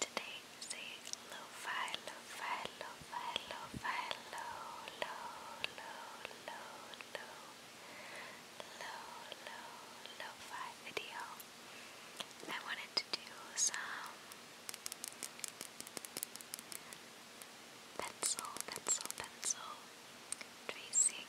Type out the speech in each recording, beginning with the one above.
Today is a lo-fi, lo-fi, lo-fi, lo-fi, low, low, low, low, low, low, fi video. I wanted to do some pencil, pencil, pencil tracing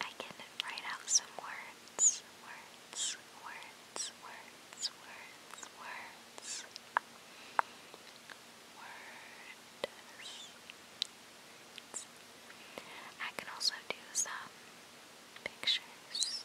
I can write out some words, words, words, words, words, words, words. I can also do some pictures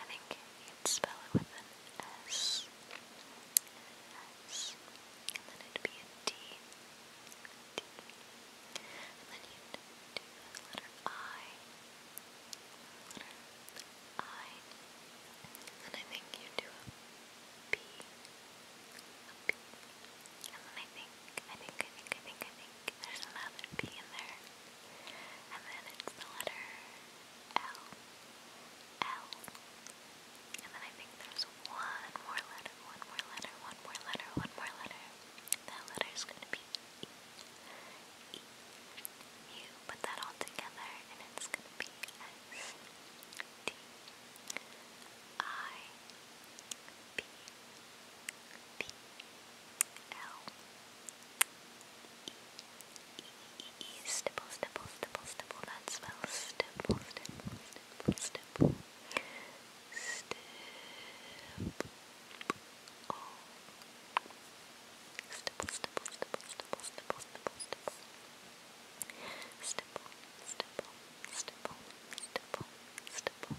I think you'd spell it with an S, S, and then it'd be a D, D, and then you'd do the letter I, I, and I think you'd do a B, a B, and then I think, I think, I think, I think, I think there's another P in there. And then it's the letter L. L. And then I think there's one more letter, one more letter, one more letter, one more letter. That letter is going to be E. You put that all together and it's going to be S. D. I. B. B. B. L E E stipple stipple stipple stipple that spells stipple stipple stipple stipple stipple oh stipple stipple stipple stipple stipple stipple stipple stipple stipple stipple stipple stipple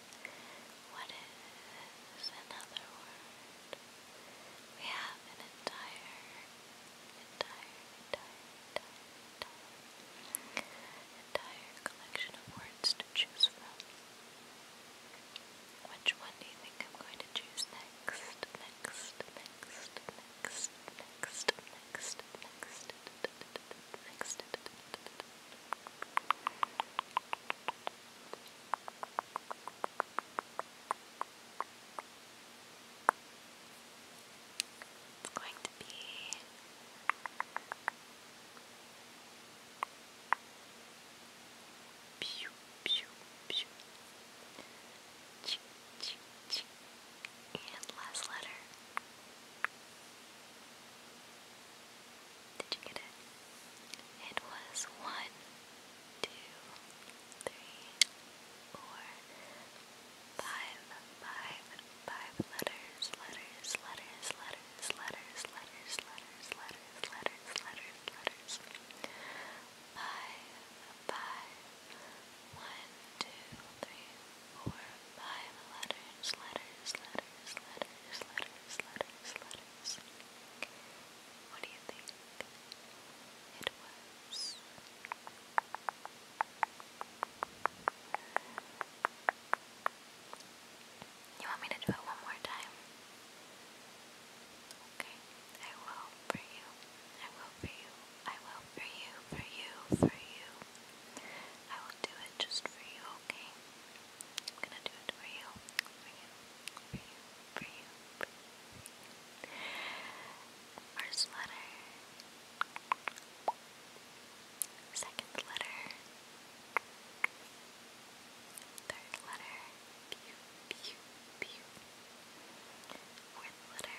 What is another word? We have an entire, entire, entire, entire, entire, entire collection of words to choose from. Which one do you think I'm going to choose next? Next, next, next, next, next, next, next next. It's going to be pew pew pew ching, ching, ching. and last letter did you get it? It was one, two, three, four, five, five, five letters, letters, letters, letters, letters, letters, letters, letters, letters, letters, letters. Five, five, one, two, three, four, five letters, letters, letters, letters, letters, letters, letters. What do you think it was? You want me to do it one more time? Okay, I will for you. I will for you. I will for you, for you, for you. I will do it just for you, okay? I'm gonna do it for you, First letter. Second letter. Third letter. Fourth letter.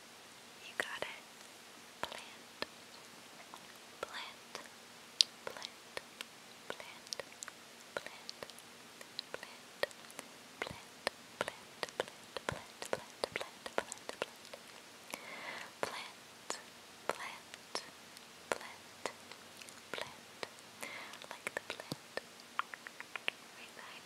You got it. Plant. Plant. Plant. Plant. Plant. Plant. Plant. Plant. Plant. Plant. Plant. Plant. Plant. Plant. Plant. Plant. Plant. Like the plant. Right behind me. Plant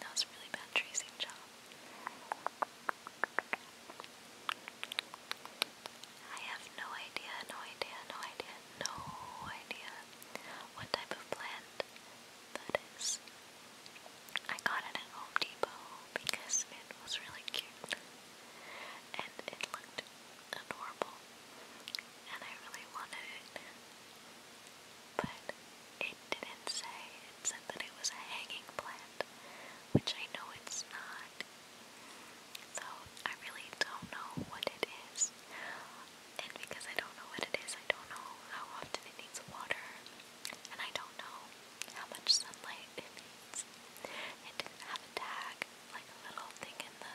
That was a really bad tracing job. I have no idea, no idea, no idea, no idea what type of plant that is. I got it at Home Depot because it was really cute and it looked adorable and I really wanted it but it didn't say. It said that it was a hanging plant, which I know it's not. So I really don't know what it is. And because I don't know what it is, I don't know how often it needs water. And I don't know how much sunlight it needs. It didn't have a tag, like a little thing in the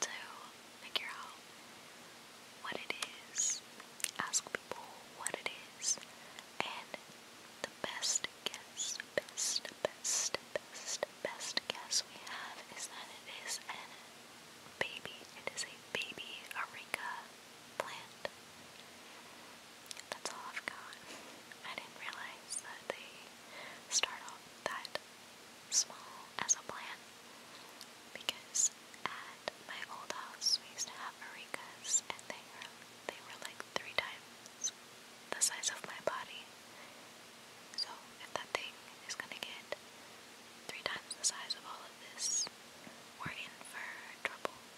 to figure out what it is, ask people what it is, and the best guess, best, best, best, best guess we have is that it is a baby. It is a baby areca plant. That's all I've got. I didn't realize that they start off that small as a plant because at my old house we used to have maricas and they were they were like three times the size of my body. So if that thing is gonna get three times the size of all of this, we're in for trouble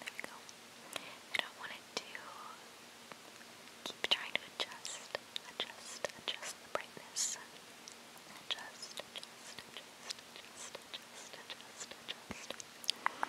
There we go. I don't want it to keep trying to adjust, adjust, adjust the brightness. Adjust, adjust, adjust, adjust, adjust, adjust, adjust. Okay,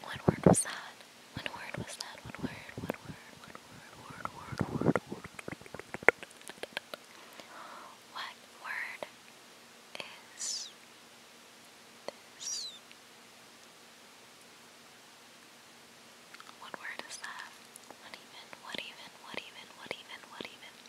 One word was that? One word was that? One word? What word? What word? What word? Word? Word? Word? What word is this? What word is that? What even? What even? What even? What even? What even?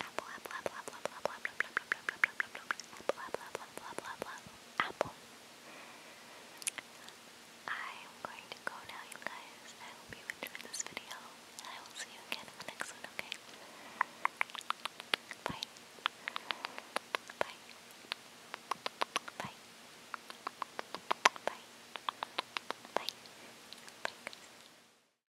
apple, apple, apple, apple, apple, apple, apple, apple, apple, apple. I am going to go now, you guys. I hope you enjoyed this video, and I will see you again in the next one. Okay? Bye. Bye. Bye. Bye. Bye. Bye.